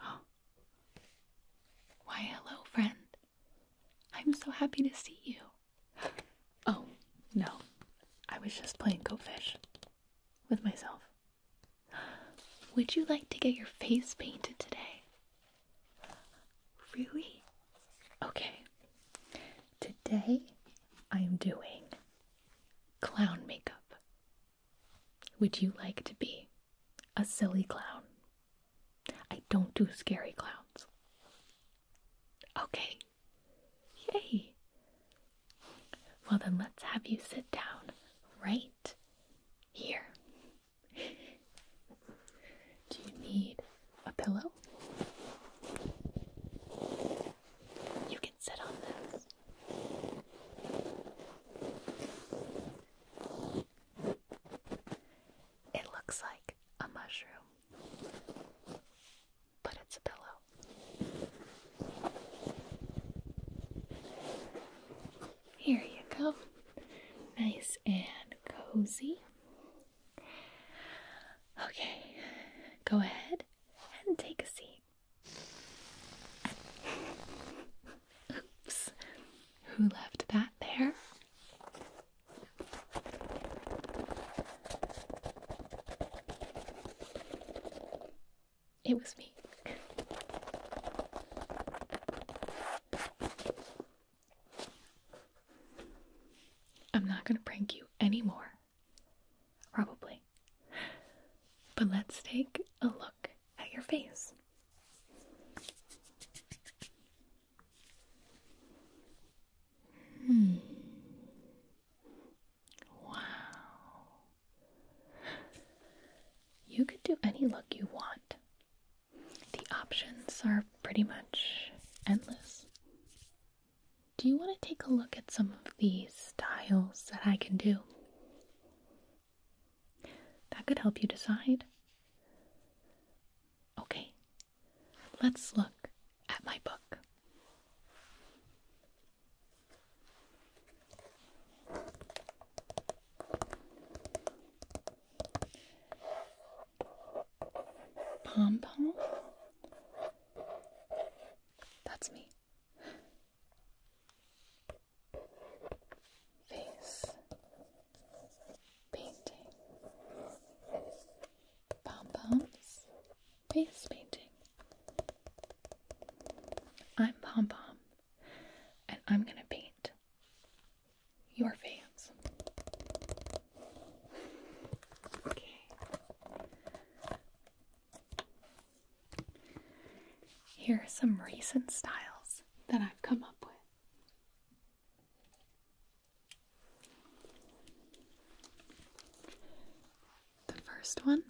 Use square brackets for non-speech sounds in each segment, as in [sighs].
Oh. Why, hello, friend. I'm so happy to see you. Oh, no. I was just playing Go Fish with myself. Would you like to get your face painted today? Really? Okay. Today I am doing clown makeup. Would you like to be a silly clown? I don't do scary clowns. Okay. Yay. Well, then let's have you sit down right here. do you need a pillow? You can sit on this. It looks like a mushroom, but it's a pillow. Here you go. Nice and cozy. Okay, go ahead and take a seat. Oops. Who left that there? It was me. I'm not going to prank you anymore. Probably. But let's take a look at your face. Hmm. Wow. You could do any look you want. The options are pretty much endless do you want to take a look at some of these styles that I can do? That could help you decide. Okay, let's look at my book. Pom pom? That's me face painting, pom poms, face painting. I'm pom pom, and I'm gonna paint your face. Okay. Here are some recent styles that I've come up with. The first one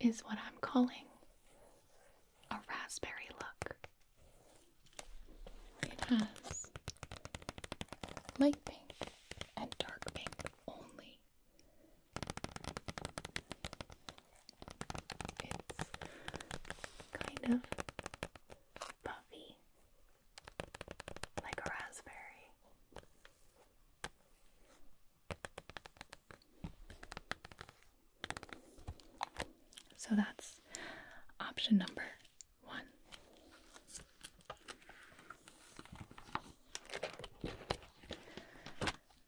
is what I'm calling a raspberry look. It has light pink and dark pink only. It's kind of puffy, like a raspberry. So that's option number one.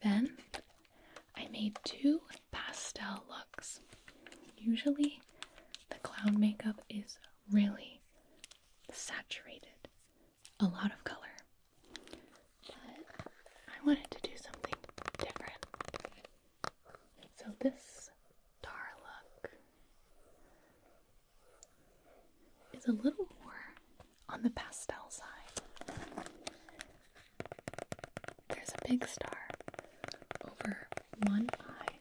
Then I made two pastel looks. Usually, the clown makeup is really saturated, a lot of color. But I wanted to do something different. So this Darluk is a little more on the pastel side. There's a big star over one eye.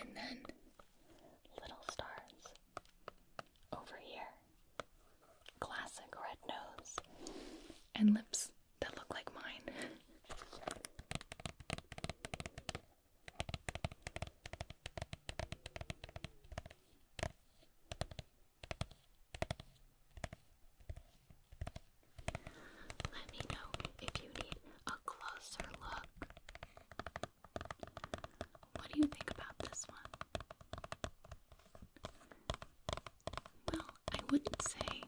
And then little stars over here classic red nose and lips that look like mine. Let me know if you need a closer look. What do you think about this one? well, I wouldn't say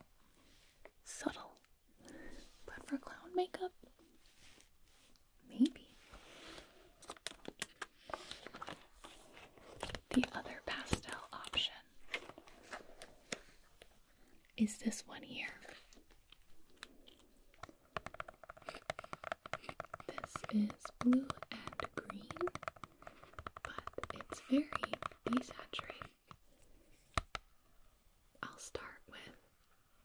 subtle, but for clown makeup, maybe. The other pastel option is this one here. This is blue and green but it's very desaturated. I'll start with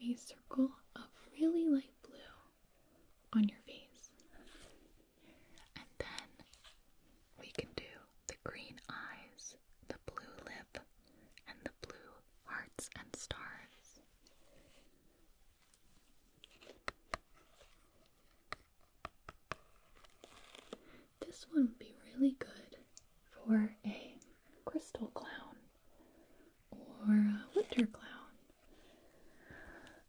a circle of really light blue on your face, and then we can do the green eyes, the blue lip, and the blue hearts and stars. This one would be really good for a crystal clown, or a winter clown,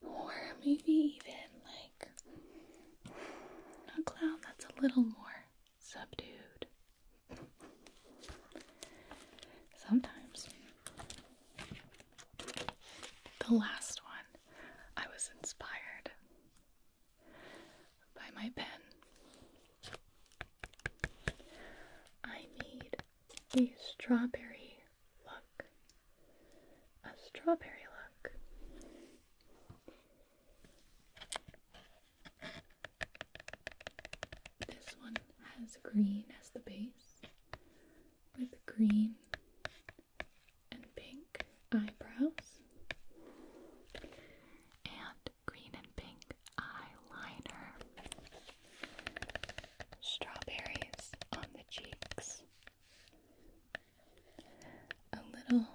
or maybe even like a clown that's a little more subdued. Sometimes. The last one, I was inspired by my pen. I need a strawberry look. A strawberry look. This one has green as the base with green and pink eyebrows and green and pink eyeliner. Strawberries on the cheeks. A little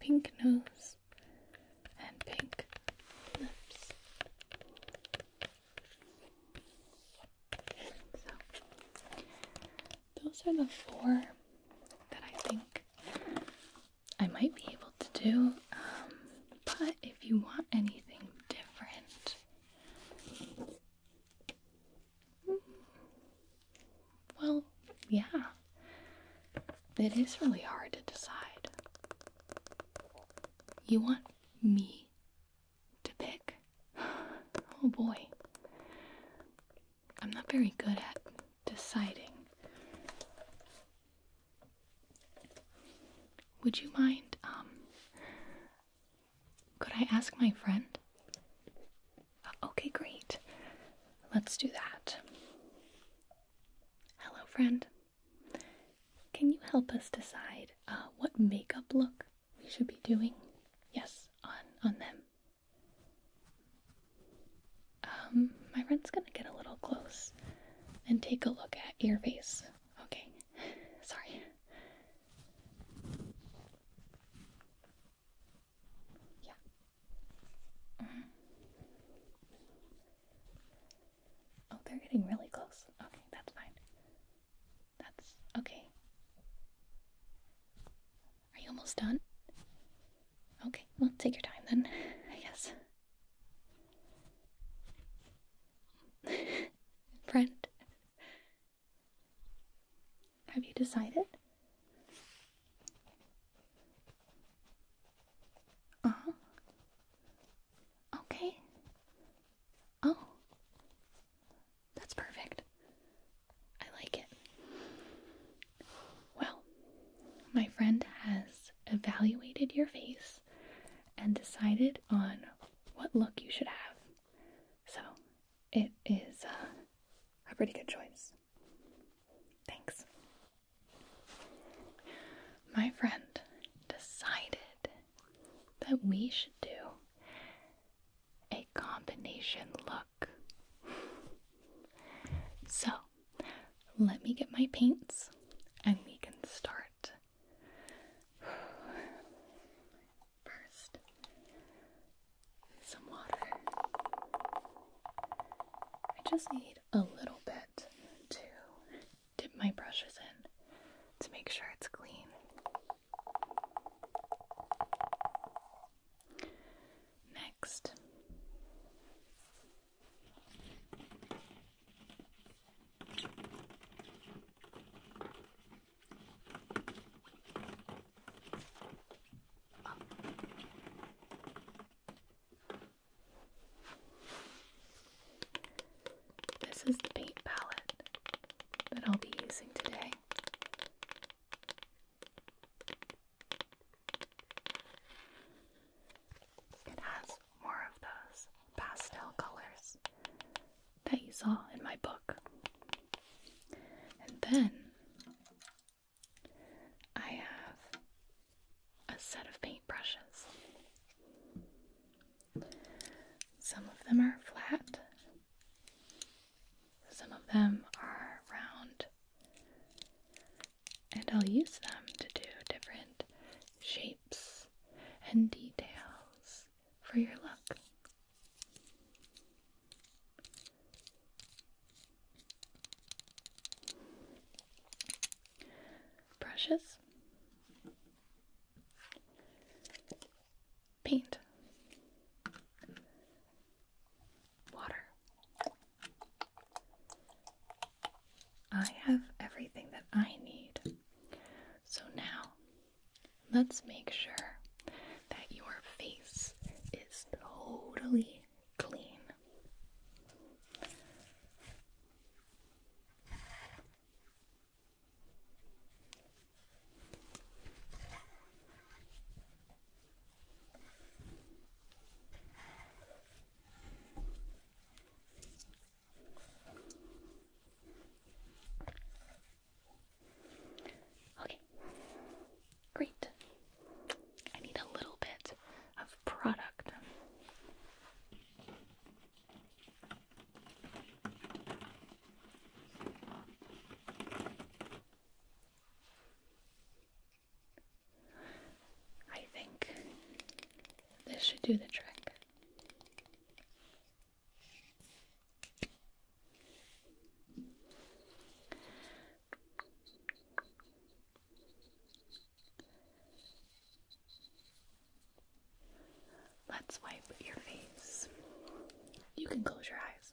pink nose and pink lips those are the four that I think I might be able to do. Um, but if you want anything different, hmm, well, yeah, it is really hard to decide. You want me to pick? [gasps] Oh boy. I'm not very good at deciding. Would you mind, um, could I ask my friend? Uh, okay, great. Let's do that. Hello, friend. Can you help us decide uh, what makeup look we should be doing? Yes, on on them. Um, my friend's gonna get a little close and take a look at your face. Okay, [sighs] sorry. Yeah. Mm. Oh, they're getting really close. Okay, that's fine. That's okay. Are you almost done? Okay, well, take your time then, I guess. [laughs] Friend, have you decided? Uh huh. Okay. Oh. That's perfect. I like it. Well, my friend has evaluated your face and decided on what look you should have. So, it is uh, a pretty good choice. Thanks. My friend decided that we should do a combination look. so, let me get my paints and we can start. First, some water. I just need a little bit to dip my brushes in to make sure it's clean. Next, this is the paint palette that I'll be using today. It has more of those pastel colors that you saw in my book. And then I have a set of paintbrushes. Some of them are flat, some of them are round, and I'll use them to do different shapes and details for your look. Brushes paint, water. I have everything that I need. So now, let's make sure that your face is totally clean. Okay, great. I need a little bit of product. I think this should do the trick. Let's wipe your face. You can close your eyes.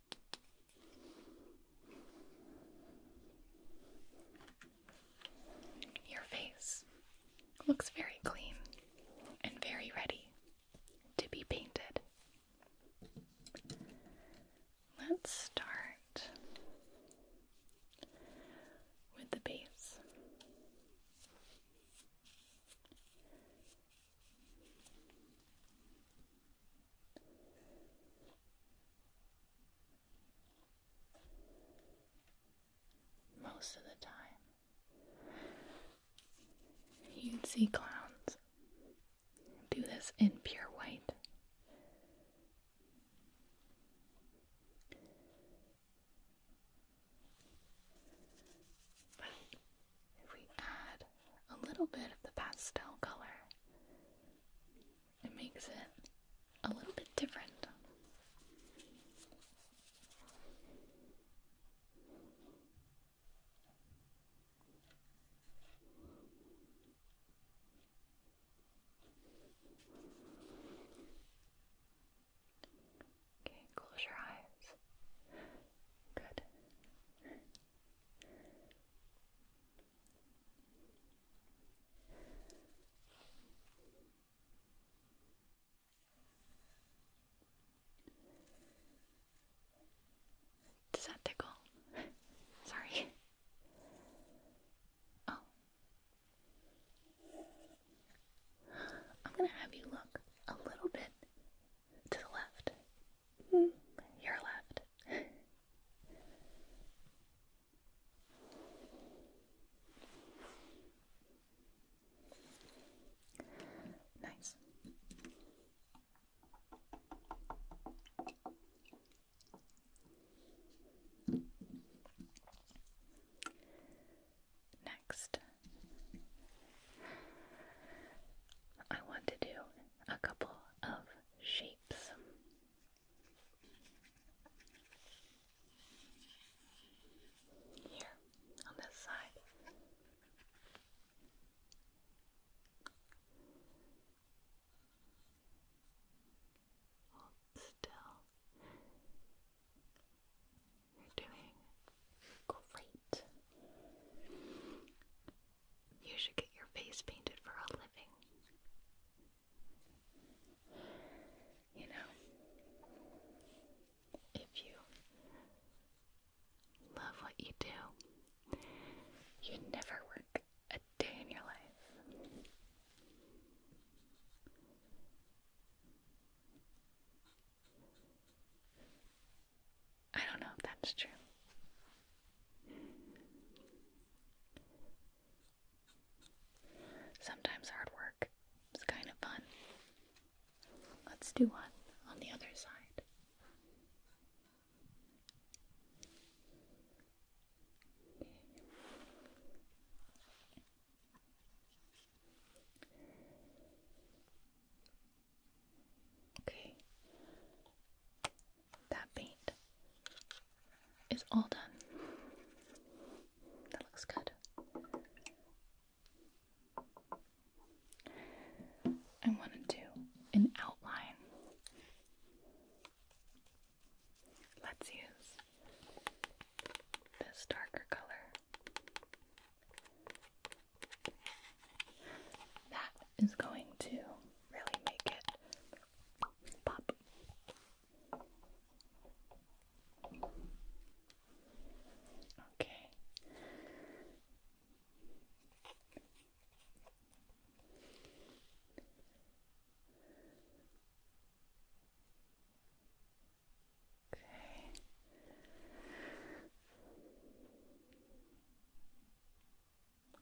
Your face looks very clean and very ready to be painted. Let's start with the base. Most of the time, you'd see clowns do this in pure white. But if we add a little bit of the pastel color, it makes it a little bit different. Okay, close your eyes. Good. Does that tickle? [laughs] Sorry. Oh. I'm going to have you look a little bit to the left Mm, your left. [laughs] nice. Next, I want to do a couple of shapes. Here, on this side. Hold still. You're doing great. You should get your face painted for a living. You know, if you love what you do, you never work a day in your life. I don't know if that's true. Sometimes hard work is kind of fun. Let's do one on the other side. Okay. That paint is all done. That looks good. I want to do an outline. Let's use this darker color. That is going to really make it Pop. Okay. Okay.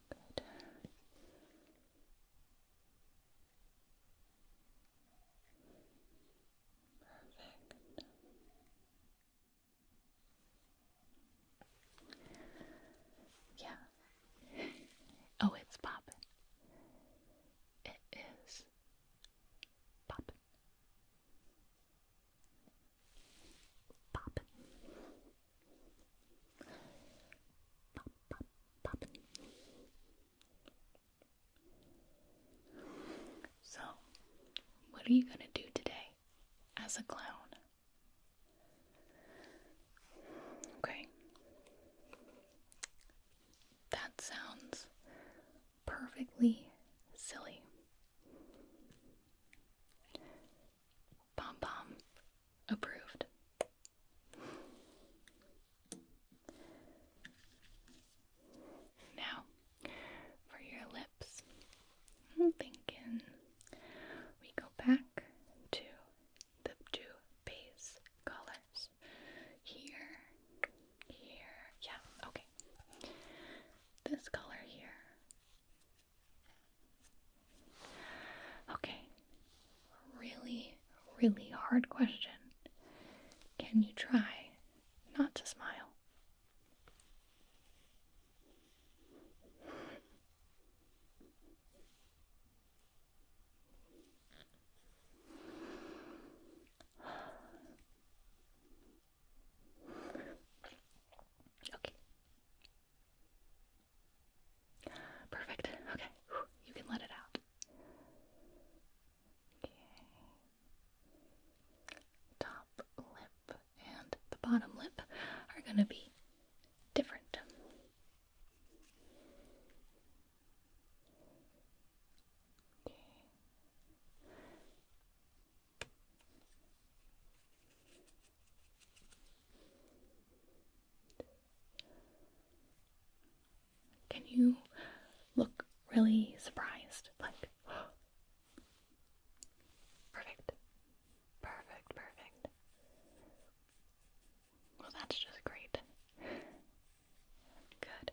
Perfect. Yeah. Oh, it's popping. It is popping. Popping. So, what are you going to do today as a clown? Okay. That sounds perfectly silly. Bomb bomb approved. Now for your lips. I'm hmm, thinking we go back to the two base colors. Here, here, yeah, okay. This color here Okay, really, really hard question. Can you try not to smile? [sighs] Okay. Perfect. Okay, you can let it out. Okay. Top lip and the bottom lip are going to be different. Okay. Can you look really surprised? Like, [gasps] perfect, perfect, perfect. Well, that's just great. Good.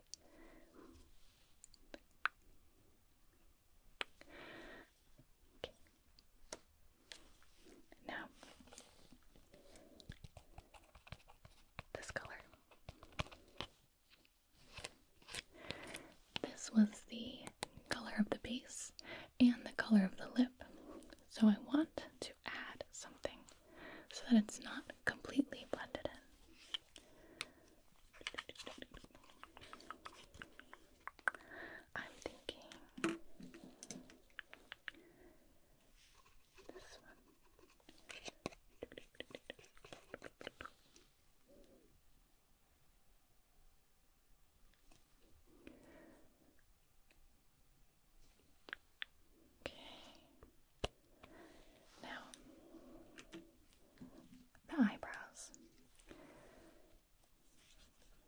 Now, this color. This was the color of the base and the color of the lip. So I want to add something so that it's not completely blended in. I'm thinking this one. Okay. Now the eyebrows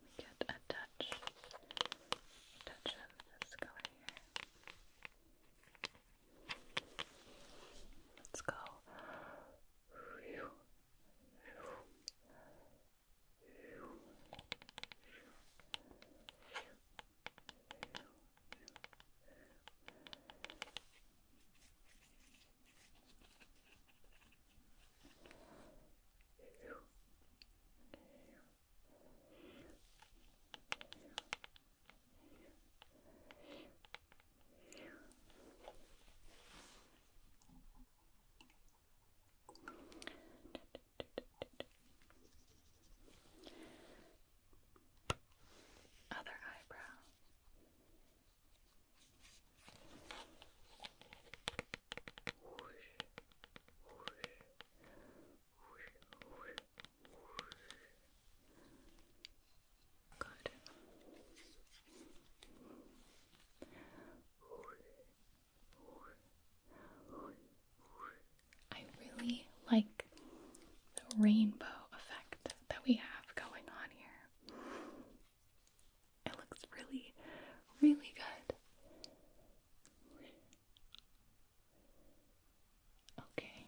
we get a touch, touch of this color here. Let's go. Other eyebrow. I really like the rainbow effect that we have going on here. It looks really, really good. Okay.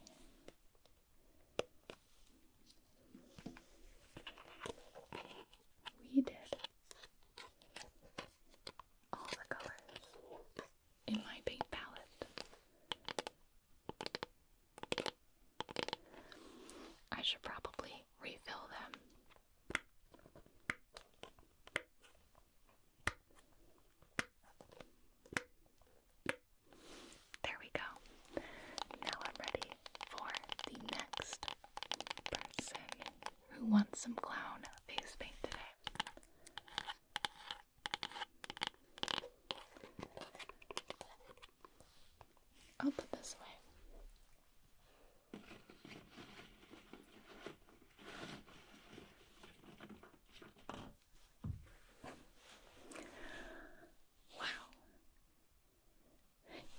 We did all the colors in my paint palette. I should probably refill them there we go. Now I'm ready for the next person who wants some clown face paint I'll put this away. Wow.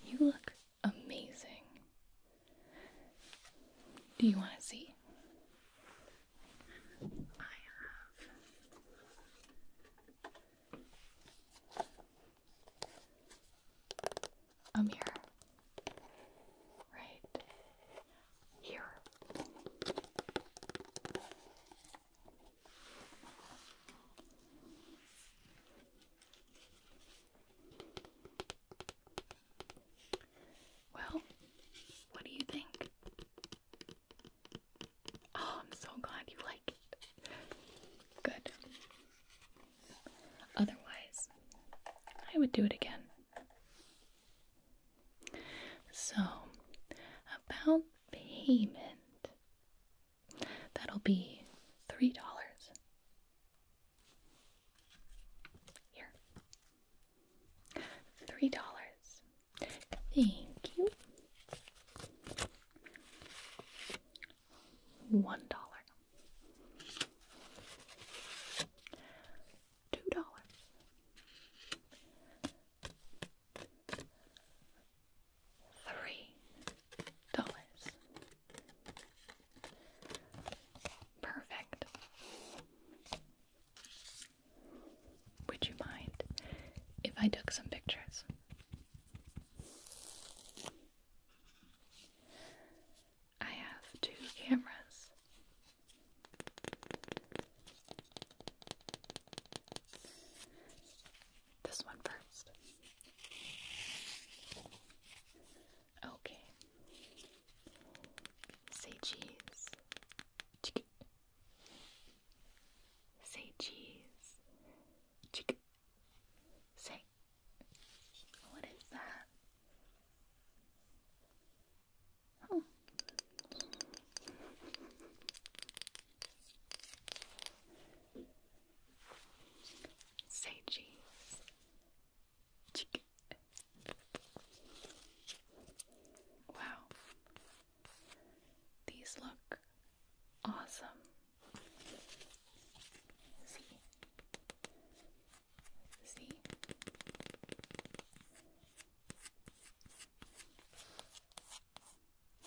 You look amazing. Do you want to see? a mirror right here. Well, what do you think? Oh, I'm so glad you like it. Good. Otherwise, I would do it again. So, about payment, that'll be $3. Here. $3. Thank you one dollar, two dollars, three dollars. Perfect. Would you mind if I took some pictures? I have two cameras. This one first. Okay. Say cheese. Say cheese. Say, what is that? Oh. Say cheese. Wow. These look awesome. See?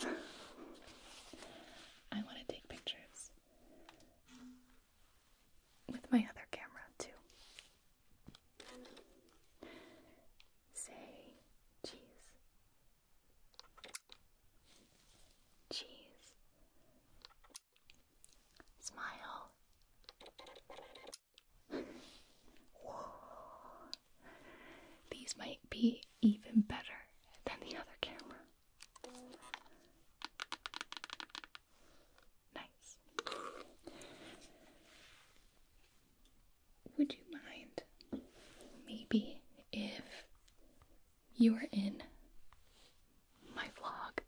See? I want to take pictures with my other camera, too. Say cheese. Cheese. Smile. These might be even better than the other camera. Nice. Would you mind maybe if you are in my vlog.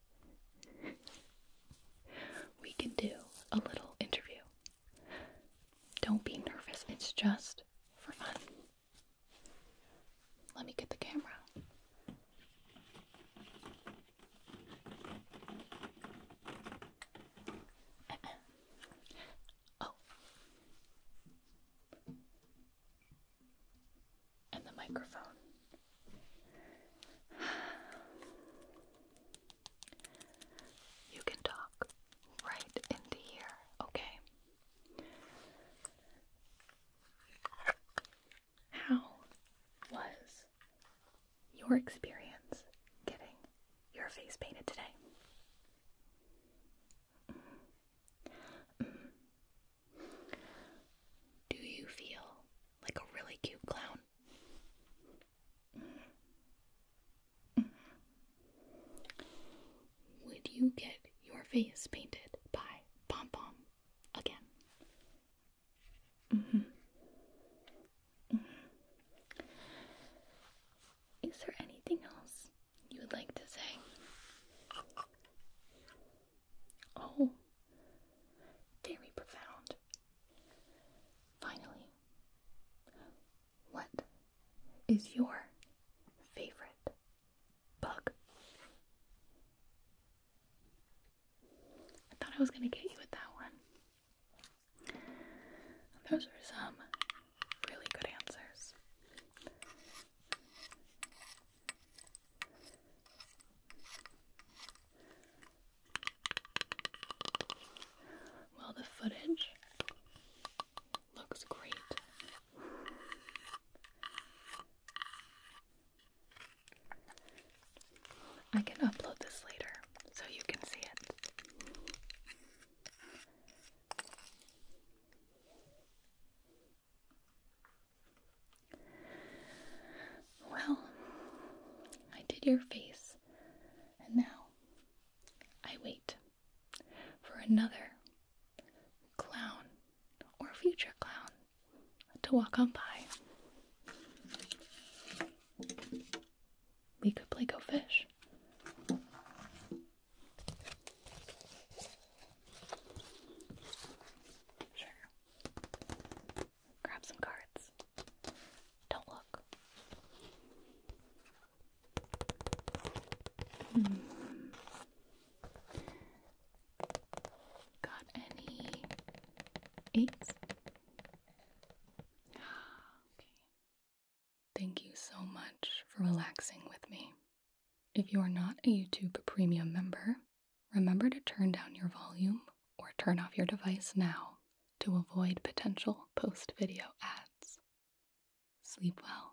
we can do a little interview. Don't be nervous, it's just for fun. Let me get the camera. Uh-uh. oh and the microphone. You can talk right into here, okay? How was your experience getting your face painted today? Mm. Mm. Do you feel like a really cute clown? Would you get your face painted by Pom Pom again? Mm-hmm. Mm-hmm. Is there anything else you would like to say? Oh, very profound. Finally, what is your favorite bug? I thought I was going to get you with that one. Those were some really good answers. Well, the footage looks great. I can upload this later so you can see it. Well, I did your face, and now I wait for another clown or future clown to walk on by. We could play go fish. Sure. Grab some cards. Don't look. Hmm. Got any eights? [gasps] okay. Thank you so much for relaxing with me. If you are not a YouTube Premium member, remember to turn down your volume or turn off your device now to avoid potential post video ads. Sleep well.